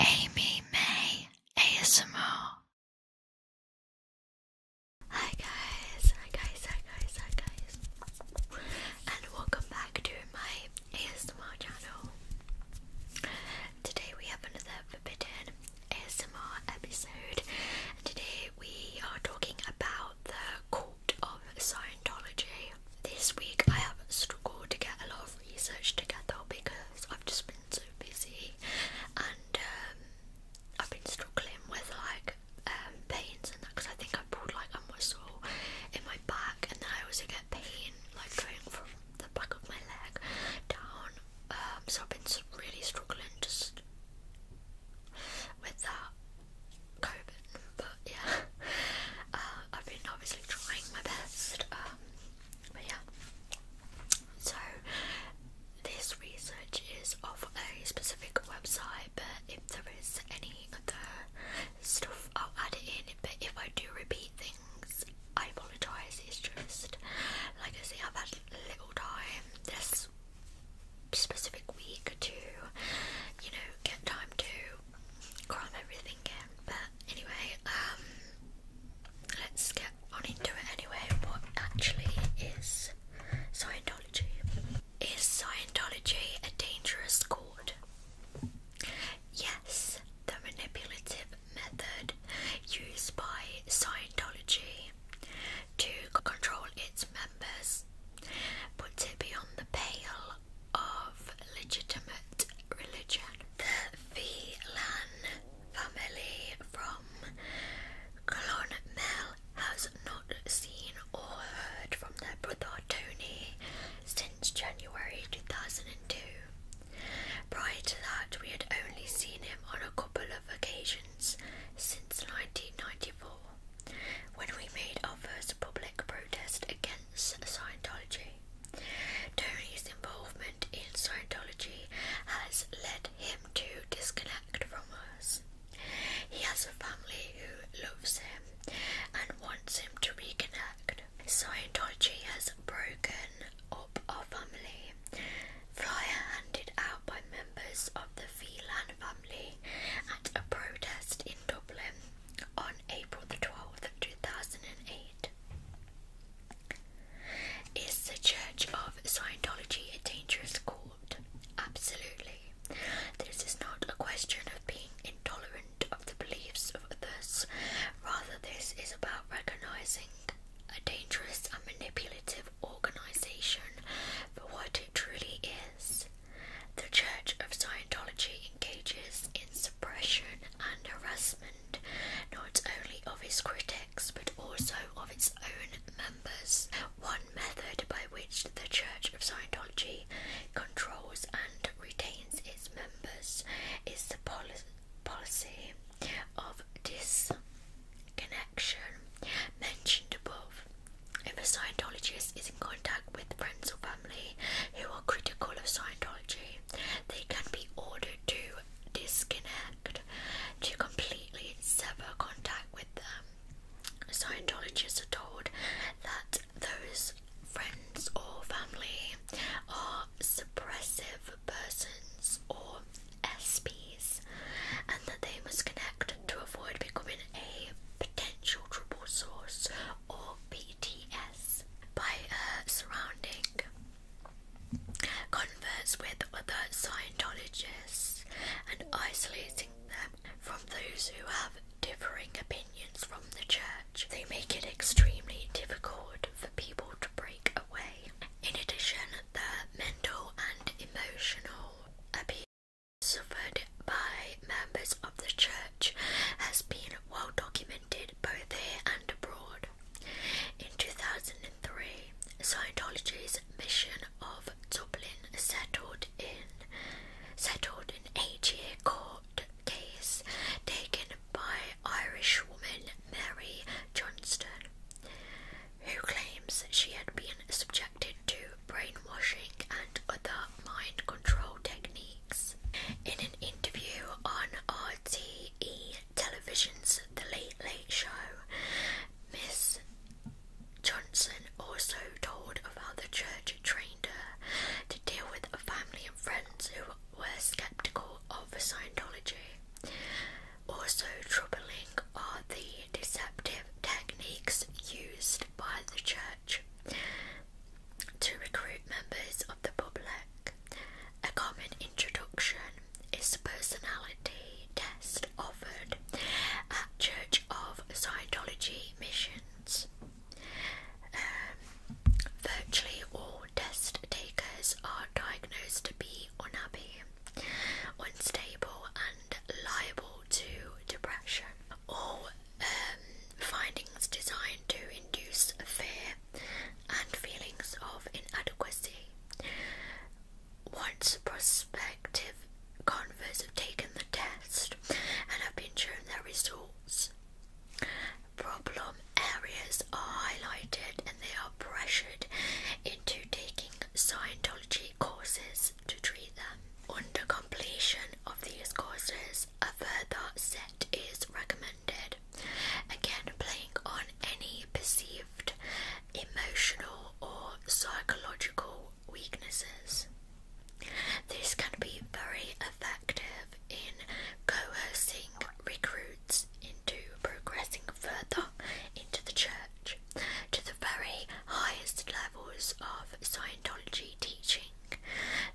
Amy May ASMR. Hi guys, hi guys, hi guys, hi guys, and welcome back to my ASMR channel. Today we have another forbidden ASMR episode, and today we are talking about the cult of Scientology. This week I have struggled to get a lot of research together because I've just been so busy and um, I've been struggling with like um, pains and that because I think I pulled like a muscle in my back and then I also get pain like going from the back of my leg down um, so I've been really struggling just with that COVID but yeah uh, I've been obviously trying my best but yeah. So this research is of a specific website, but if there is any other stuff, I'll add it in. But if I do repeat things, I apologise. It's just like I say, I've had little time this specific week to, you know, get time to can't overthink But anyway, um, let's get on into it anyway. What actually is Scientology? Is Scientology a dangerous cult? Yes, the manipulative method used by Scientology to control its members puts it beyond the pale of legitimate religion the Phelan family from Clonmel has not seen or heard from their brother Tony since January 2002. Prior to that, we had only seen him on a couple of occasions since 1994 when we made our first public protest against. Scientology. Tony's involvement in Scientology has led him to disconnect from us. He has a family who loves him and wants him to reconnect. Scientology has broken up our family. Flyer handed out by members of the Phelan family at a protest in Dublin on April the 12th, 2008. Is the Church of Scientology a dangerous cult? Absolutely. This is not a question of being intolerant of the beliefs of others, rather, this is about recognizing a dangerous and manipulative organization for what it truly is. The Church of Scientology engages in suppression and harassment not only of its critics but also of its own members. One method by which the Church of Scientology controls and retains its members is the policy of disconnection mentioned above. If a Scientologist is in contact with friends or family who are critical of Scientology, they can be ordered to disconnect, to completely sever contact with them. Scientologists are told that those friends or family are suppressive persons or SPs and that they must connect to avoid becoming a potential trouble source or PTS us by uh, surrounding converts with other Scientologists and isolating them from those who have differing opinions from the church. They make it extremely difficult for people to break away. In addition, the mental and emotional abuse suffered by members of the church has been well documented both here and abroad. In 2003, Scientology's mission of Dublin settled in settled an eight-year court case taken by Irish woman Mary Johnston, who claims she had been subjected to brainwashing and other mind control techniques. In an interview on our RTE Television's The Late Late Show, Miss Johnson also told about the church trained her to deal with family and friends who were skeptical of Scientology. Also troubling are the deceptive techniques used by the church to recruit members of the public. A common introduction is the personality test offered at Church of Scientology missions. Um, virtually all test takers are diagnosed to be unhappy, unstable, and liable to depression. All um, findings designed to induce fear and feelings of inadequacy. Once prospective converts have taken the test and have been shown their results, problem areas are highlighted and they are pressured into taking Scientology courses to treat them. Under completion of these courses, a further set is recommended Again, playing on any perceived emotional or psychological weaknesses. This can be very effective in coercing recruits into progressing further into the church to the very highest levels of Scientology teaching.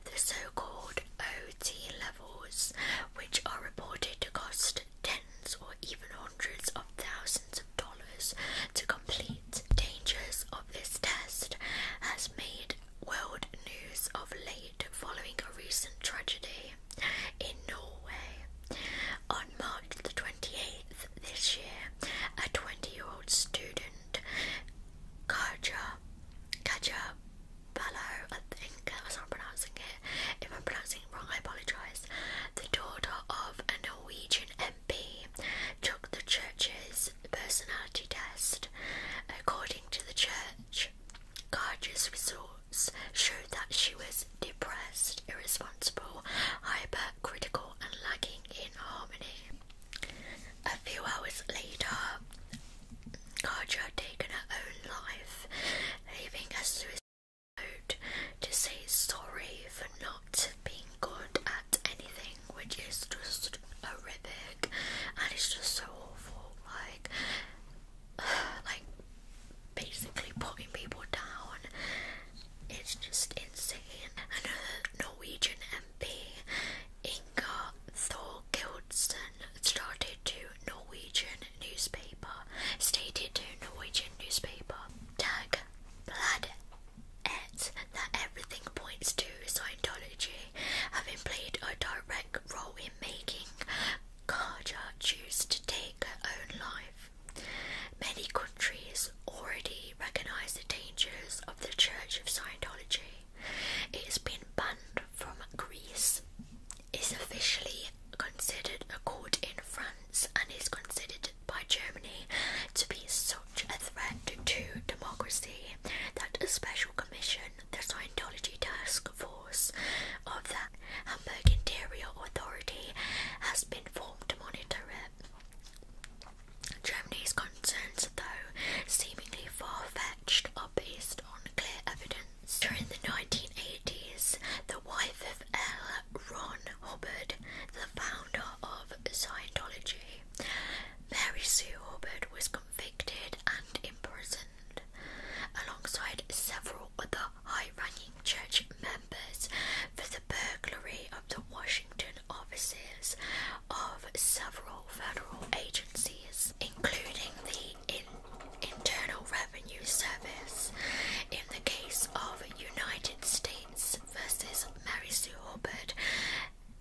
The so called OT level levels, which are reported to cost tens or even hundreds of thousands of dollars to complete. Dangers of this test has made world news of late following a recent tragedy in Norway. On March the 28th this year, a 20-year-old student, Kaja, Kaja Bellow, I think I was not pronouncing it. If I'm pronouncing wrong, I apologise. The daughter of a Norwegian MP took the church's personality test. According to the church, Garge's results showed that she was depressed, irresponsible, hypercritical, and lacking in harmony. A few hours later, Carja had taken her own life, leaving a suicide note to say sorry for not being good at anything, which is just horrific, and it's just so awful. Like, like basically putting people down. It's just insane. Another Norwegian MP, Inga Thor Thorkildsen, started to Norwegian newspaper, stated to Norwegian newspaper. Dag Bladet that everything points to Scientology, having played a direct role in making Karja choose to take her own life. Many countries already recognise the dangers of the Church of Scientology, it has been banned from Greece, It's officially considered a cult in France, and is considered by Germany to be such a threat to democracy that a special commission, the Scientology Task Force of the Hamburg Interior Authority, has been formed to monitor it. Germany's concerns, though seemingly far fetched, are based on clear evidence during the 1980s, the wife of L. Ron Hubbard, the founder of Scientology, Mary Sue Hubbard was convicted and imprisoned, alongside several other high-ranking church members, for the burglary of the Washington offices of several federal agencies, including the in Internal Revenue Service in the case of United States versus Mary Sue Hubbard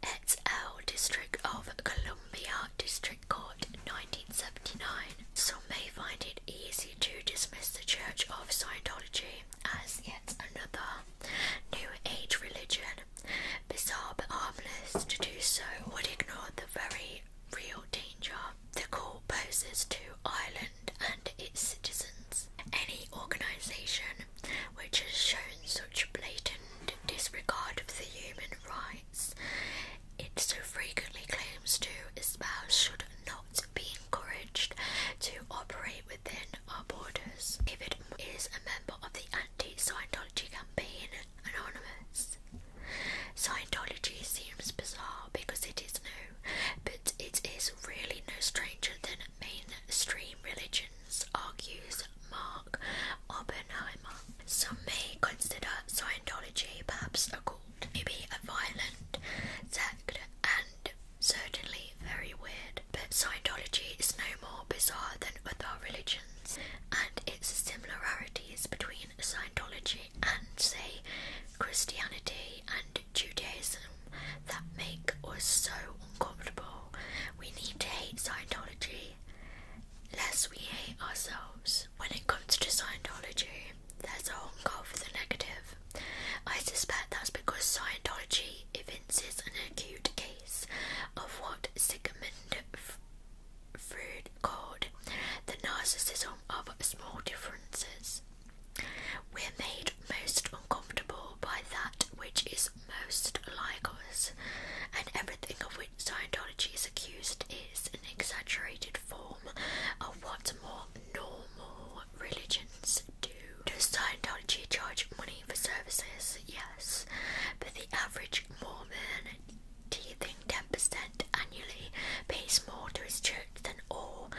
et al. District of Columbia District Court 1979. Some may find it easy to dismiss the Church of Scientology as yet another New Age religion. Bizarre but harmless to do so would ignore the very real danger. The call poses to Ireland and its citizens. Any organisation which has shown such blatant disregard of the human rights it so frequently claims to espouse should not be encouraged to operate within our borders. David is a member of the anti Scientology campaign Anonymous. Scientology seems bizarre because it is new, but it is really no stranger than mainstream religions, argues Mark Oppenheimer. Some may consider Scientology perhaps a cult, maybe a violent sect, and certainly very weird, but Scientology is no more bizarre than other religions, and its similarities between Scientology and say Christianity and Judaism that make us so uncomfortable. We need to hate Scientology lest we hate ourselves. When it comes to Scientology, there's a hunger for the negative. I suspect that's because Scientology evinces an acute case of what Sigmund Freud called the narcissism of small differences. We're made most uncomfortable by that which is most like us, and everything of which Scientology is accused is an exaggerated form of what more normal religions do. Does Scientology charge money for services? Yes, but the average Mormon do you think 10% annually pays more to its church than all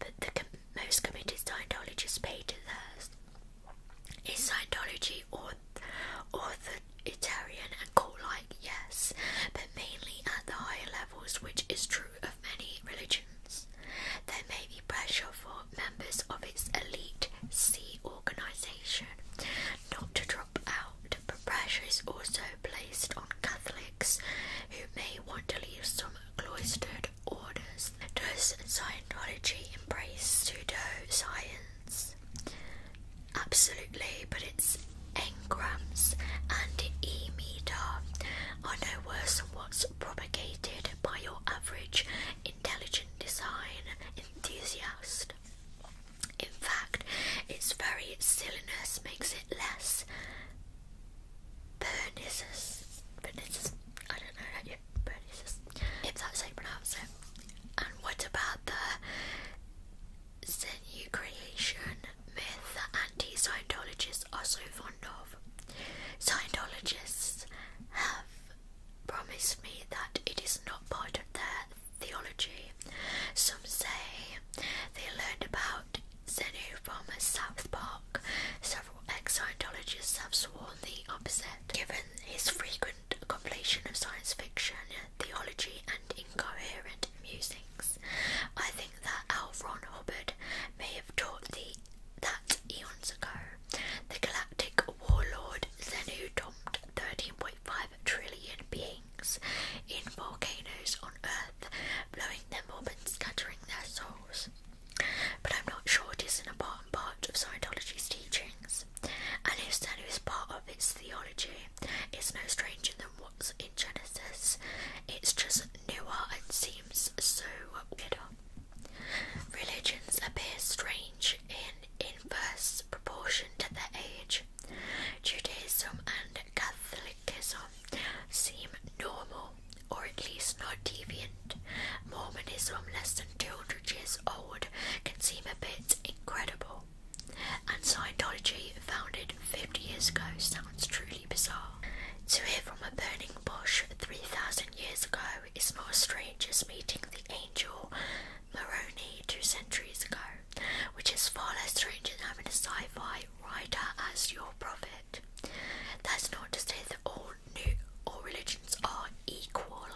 that the most committed Scientologists pay to theirs? Is Scientology authoritarian and cult-like? Yes, but mainly at the higher levels, which is true of many religions. There may be pressure for members of its elite C organization not to but pressure is also placed on Catholics who may want to leave some cloistered orders. Does Scientology embrace pseudoscience? Absolutely, but its engrams and e meter are no worse than what's propagated by your average intelligent design enthusiast. In fact, its very silliness makes it less pernicious. Pernicious? I don't know how you pronounce it. And what about the sinew creation myth that anti Scientologists are so fond of? Scientologists have promised me that it is not part of their theology. Some say they learned about Zenu from South Park. Several ex Scientologists have sworn the opposite, given his frequent compilation of science fiction, theology, and incoherent musings. I think that L. Ron Hubbard may have taught the that eons ago. The galactic warlord Zenu dumped 13.5 trillion beings in volcanoes on Earth, blowing them up and scattering their souls. But I'm not sure it isn't a part and part of Scientology's teachings, and if so is part of its theology, it's no stranger than what's in Genesis. It's just newer and seems so weirder. Religions appear strange in inverse proportion to their age. Judaism and Catholicism seem normal, or at least not deviant. Mormonism, less than 200 years old, can seem a bit incredible. And Scientology, founded 50 years ago, sounds truly bizarre. To hear from a burning bush 3,000 years ago is more strange as meeting the angel Moroni two centuries ago which is far less strange than having a sci fi writer as your prophet. That's not to say that all new all religions are equal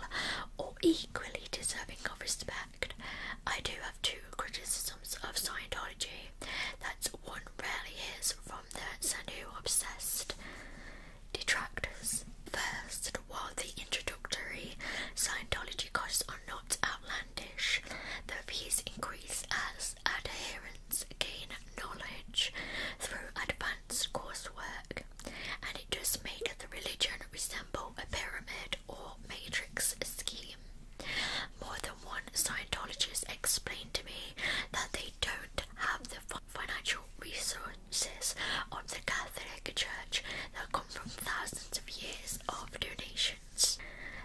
or equally deserving of respect. I do have two criticisms of Scientology. That's one rarely hears from the Sanu obsessed detractors. First, while the introductory Scientology costs are not outlandish, the fees increase as adherents gain knowledge through advanced coursework, and it does make the religion resemble a pyramid or matrix scheme. More than one Scientologist explained to me that they don't have the financial resources of the Catholic Church that come from thousands of years of donations.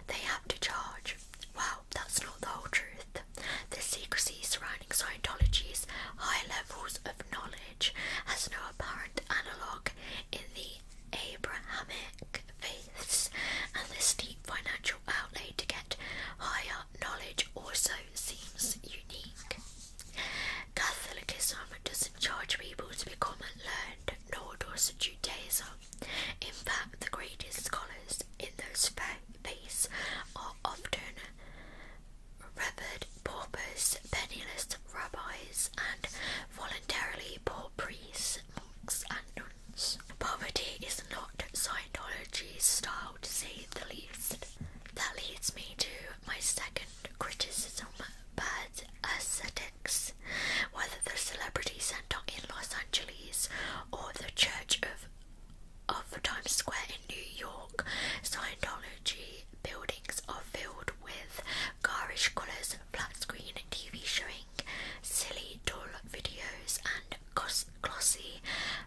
They have to charge. Well, that's not the whole truth. The secrecy surrounding Scientology's high levels of knowledge has no apparent analogue in the Abrahamic faiths, and the steep financial outlay to get higher knowledge also seems unique. Catholicism doesn't charge people to become learned, nor does Judaism. In fact, the greatest scholars in those faiths are often revered paupers, penniless rabbis, and voluntarily poor priests, monks, and nuns. Poverty is not Scientology's style, to say the least. That leads me to my second criticism, bad ascetic whether the Celebrity Center in Los Angeles or the Church of of Times Square in New York, Scientology buildings are filled with garish colours, flat screen TV showing silly, dull videos, and glossy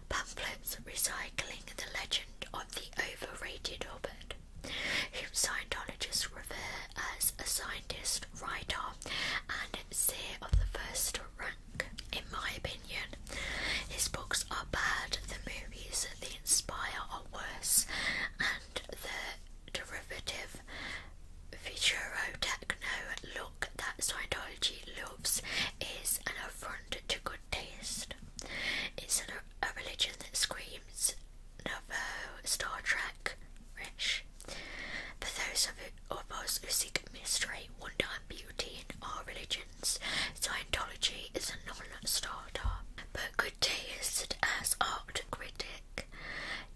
pamphlets recycling the legend of the overrated Hobbit whom Scientologists refer as a scientist, writer, and seer of the first rank. In my opinion, his books are bad, the movies they inspire are worse, and the derivative futuro techno look that Scientology loves is an affront to good taste. It's a religion that screams Nouveau Star Trek rich. For those of, of us who seek mystery, wonder, and beauty in our religions, Scientology is a non-starter. But good art critic,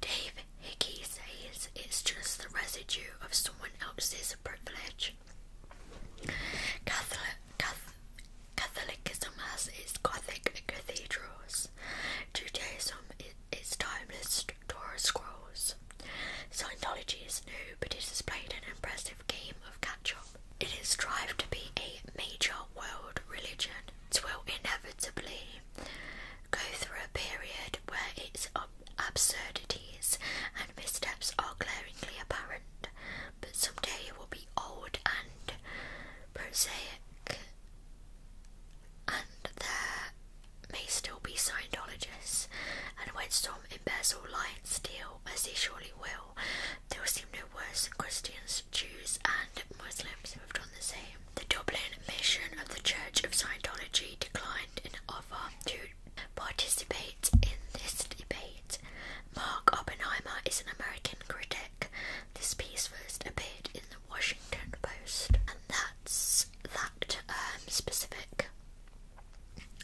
David Hickey says it's just the residue of someone else's privilege. Catholic, Catholicism has its Gothic cathedrals, Judaism its timeless Torah scrolls. Scientology is new, but it has played an impressive game of catch-up. It It has strived to be a major world religion. It will inevitably go through a period where its absurdities and missteps are glaringly apparent, but someday it will be old and prosaic and there may still be Scientologists, and when some embezzle, lie, and steal, as they surely will, there will seem no worse than Christians, Jews, and Muslims who have done the same. The Dublin mission of the Church of Scientology declined an offer to participate in this debate. Mark Oppenheimer is an American critic. This piece first appeared in the. Washington Post, and that's that um, specific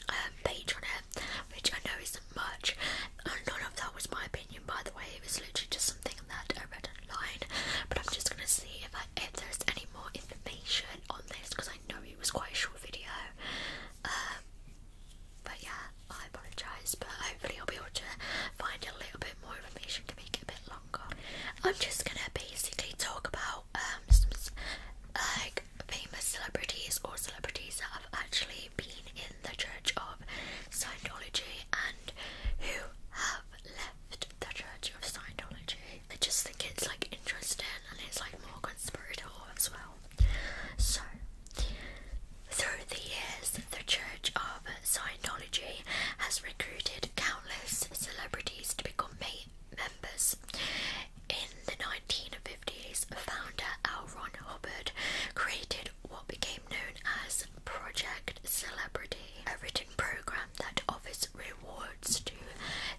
um, page on it, which I know isn't much. None of that was my opinion, by the way. It was literally just something that I read online. But I'm just gonna see if I, if there's any more information on this because I know it was quite a short video. Um, but yeah, I apologise, but hopefully I'll be able to find a little bit more information to make it a bit longer. I'm just gonna basically talk about um like famous celebrities or celebrities that have actually been in the Church of Scientology and who have left the Church of Scientology. I just think it's like interesting and it's like more conspiratorial as well. So through the years, the Church of Scientology has recruited countless celebrities to become members. In the 1950s, founder L. Ron Hubbard created what became known as Project Celebrity, a written program that offers rewards to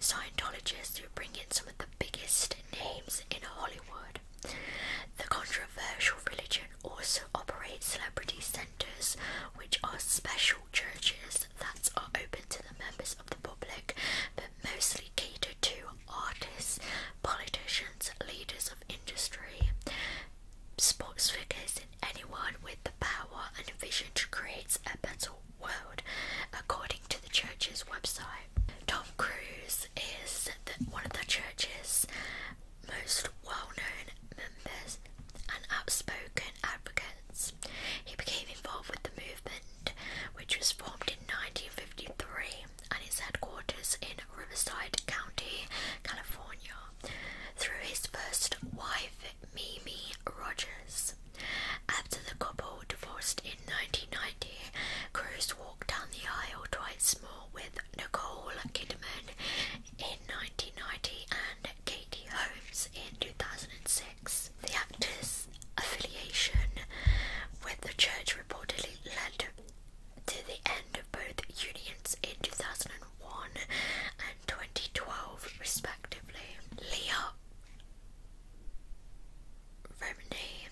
Scientologists who bring in some of the biggest names in Hollywood. The controversial religion also operate celebrity centres, which are special churches that are open to the members of the public but mostly cater to artists, politicians, leaders of industry, sports figures, and anyone with the power and vision to create a better world, according to the church's website. Tom Cruise is one of the church's most well-known members and outspoken advocates. He became involved with the movement, which was formed in 1953 and its headquarters in Riverside County, California, through his first wife, Mimi Rogers. After the couple divorced in 1990, Cruz walked down the aisle twice more with Nicole Kidman in 1990 and Katie Holmes in 2006. The actor's affiliation with the church reportedly led to the end of both unions in 2001 and 2012, respectively. Leah Remini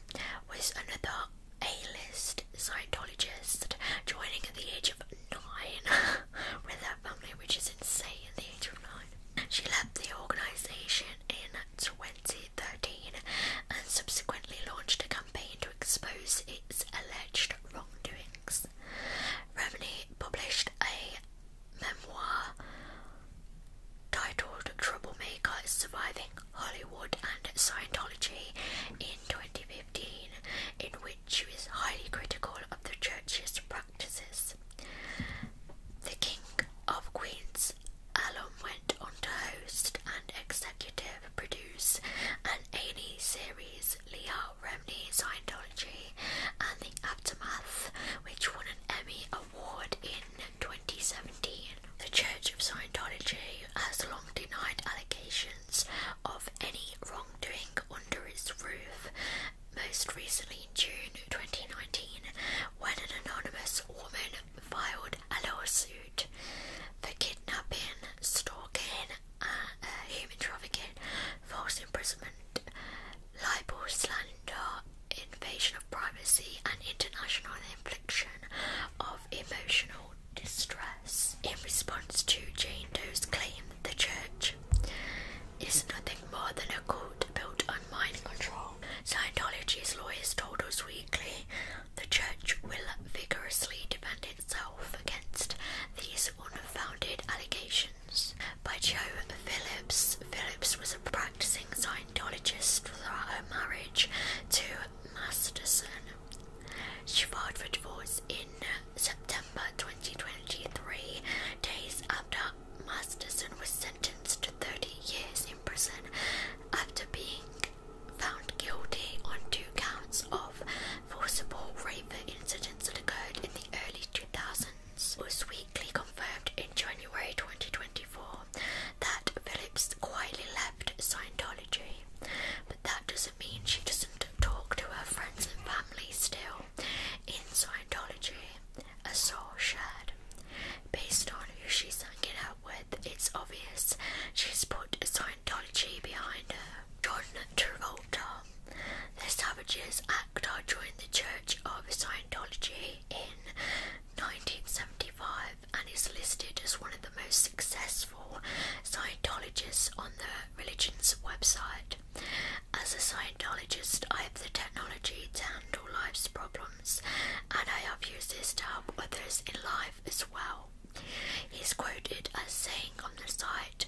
was another A-list Scientologist, joining at the age of nine with her family, which is insane at the age of nine. She left the organisation in 2013 and subsequently launched a campaign to expose its alleged wrongdoings. Romney published a memoir titled Troublemaker Surviving Hollywood and Scientology in 2015. 15, in which she was highly critical of the church's practices. The King of Queens, Alum, went on to host and executive produce an a series, Leah Remney Scientology and the Aftermath, which won an Emmy Award in 2017. The Church of Scientology has long denied allegations of any wrongdoing under its roof, most recently in June 2019, when an anonymous woman filed a lawsuit for kidnapping, stalking, uh, uh, human trafficking, forced imprisonment, libel, slander, invasion of privacy, and international infliction of emotional distress in response to Jane Doe's claim that the church is nothing more than a cult built on mind control. Scientology's lawyers told Us Weekly the church will vigorously defend itself against these unfounded allegations. By Joe Phillips, Phillips was a practicing Scientologist throughout her marriage to Masterson. She filed for divorce in September 2023, days after Masterson was sentenced to 30 years in prison after being found guilty on two counts of forcible rape incidents that occurred in the early 2000s. was weakly confirmed in January 2024 that Phillips quietly left Scientology that doesn't mean she doesn't talk to her friends and family still. In Scientology, a soul shared. Based on who she's hanging out with, it's obvious she's put Scientology behind her. Jordan Travolta. The Savages actor joined the Church of Scientology in 1975 and is listed as one of the most successful for Scientologists on the religion's website. As a Scientologist, I have the technology to handle life's problems, and I have used this to help others in life as well. He's quoted as saying on the site,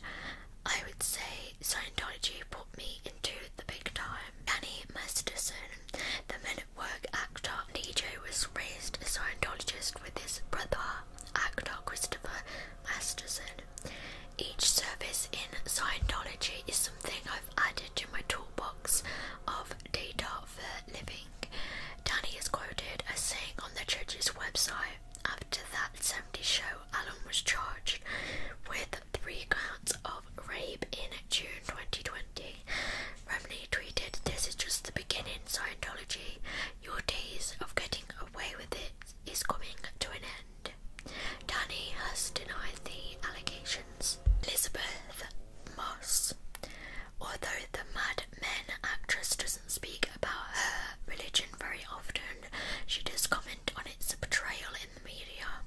I would say Scientology put me into the big time. Danny Masterson, the men at work actor DJ, was raised a Scientologist with his brother, actor Christopher Masterson. Each service in Scientology is something I've added to my toolbox of data for living. Danny is quoted as saying on the church's website after that 70 show, Alan was charged with three counts of rape in June 2020. Romney tweeted, This is just the beginning, Scientology. Your days of getting away with it is coming to an end. Danny has denied the allegations. Elizabeth Moss. Although the Mad Men actress doesn't speak about her religion very often, she does comment on its portrayal in the media.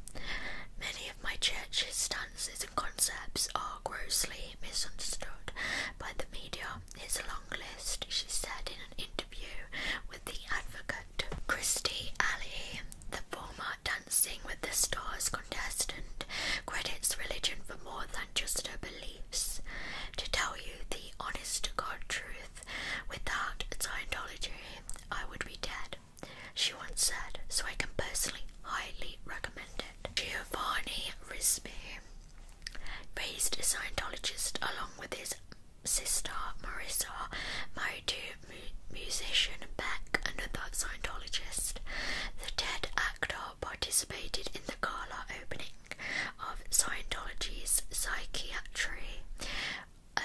Many of my church's stances and concepts are grossly misunderstood by the media his long list, she said in an interview with The Advocate. Christy Alley, the former Dancing with the Stars contestant, credits religion for more than just her beliefs. To tell you the honest to God truth, without Scientology, I would be dead, she once said, so I can personally highly recommend it. Giovanni Risby, Raised a Scientologist along with his sister Marissa, married to musician Beck, another Scientologist. The dead actor participated in the gala opening of Scientology's Psychiatry um,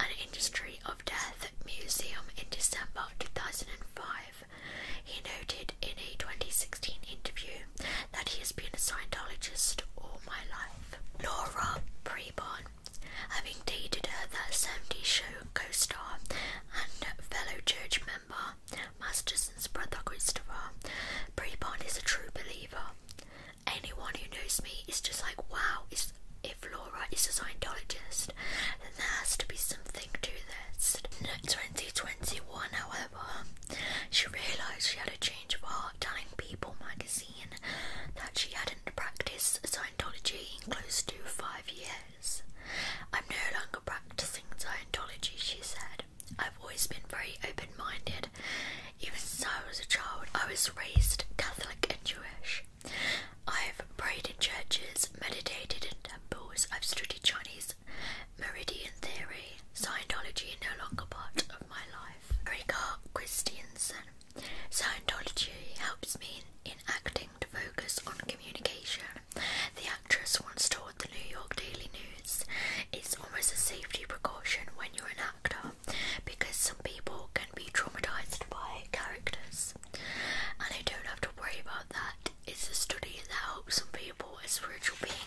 an Industry of Death Museum in December 2005. He noted in a 2016 interview that he has been a Scientologist all my life. Laura Preborn, having dated her that 70 show co-star and fellow church member, Masterson's brother Christopher, Preborn is a true believer. Anyone who knows me is just like, wow, if Laura is a Scientologist, then there has to be something to this. 2021, however, she realised she had a change of heart, telling People magazine that she hadn't practiced Scientology in close to five years. I'm no longer practicing Scientology, she said. I've always been very open minded. Even since I was a child, I was raised Catholic and Jewish. I've prayed in churches, meditated in temples, I've studied Chinese Meridian theory, Scientology no longer part of my life. Erika Christiansen, Scientology helps me in acting to focus on communication. The actress once told the New York Daily News, it's almost a safety precaution when you're an actor because some people can be traumatized by characters. And I don't have to worry about that. It's a study that helps some people as spiritual beings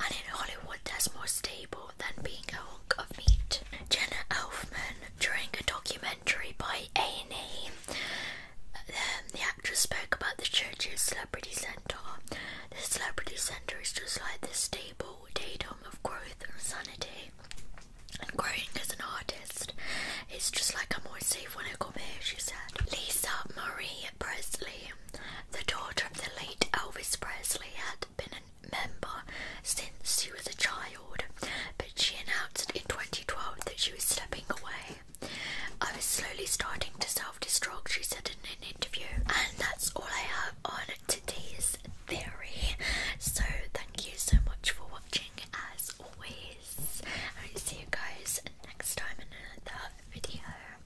and in Hollywood there's more stable than being a hunk of meat. Jenna Elfman, during a documentary by Annie, um, the actress spoke about the church's celebrity centre. The celebrity centre is just like the stable datum of growth and sanity. And growing as an artist, it's just like I'm always safe when I come here, she said. Lisa Marie Presley, the daughter of the late Elvis Presley, had been a member since she was a child, but she announced in 2012 that she was stepping away. I was slowly starting to self destruct, she said in an interview. And that's all I have on today's theory. So, thank you so much for watching, as always. I will see you guys next time in another video.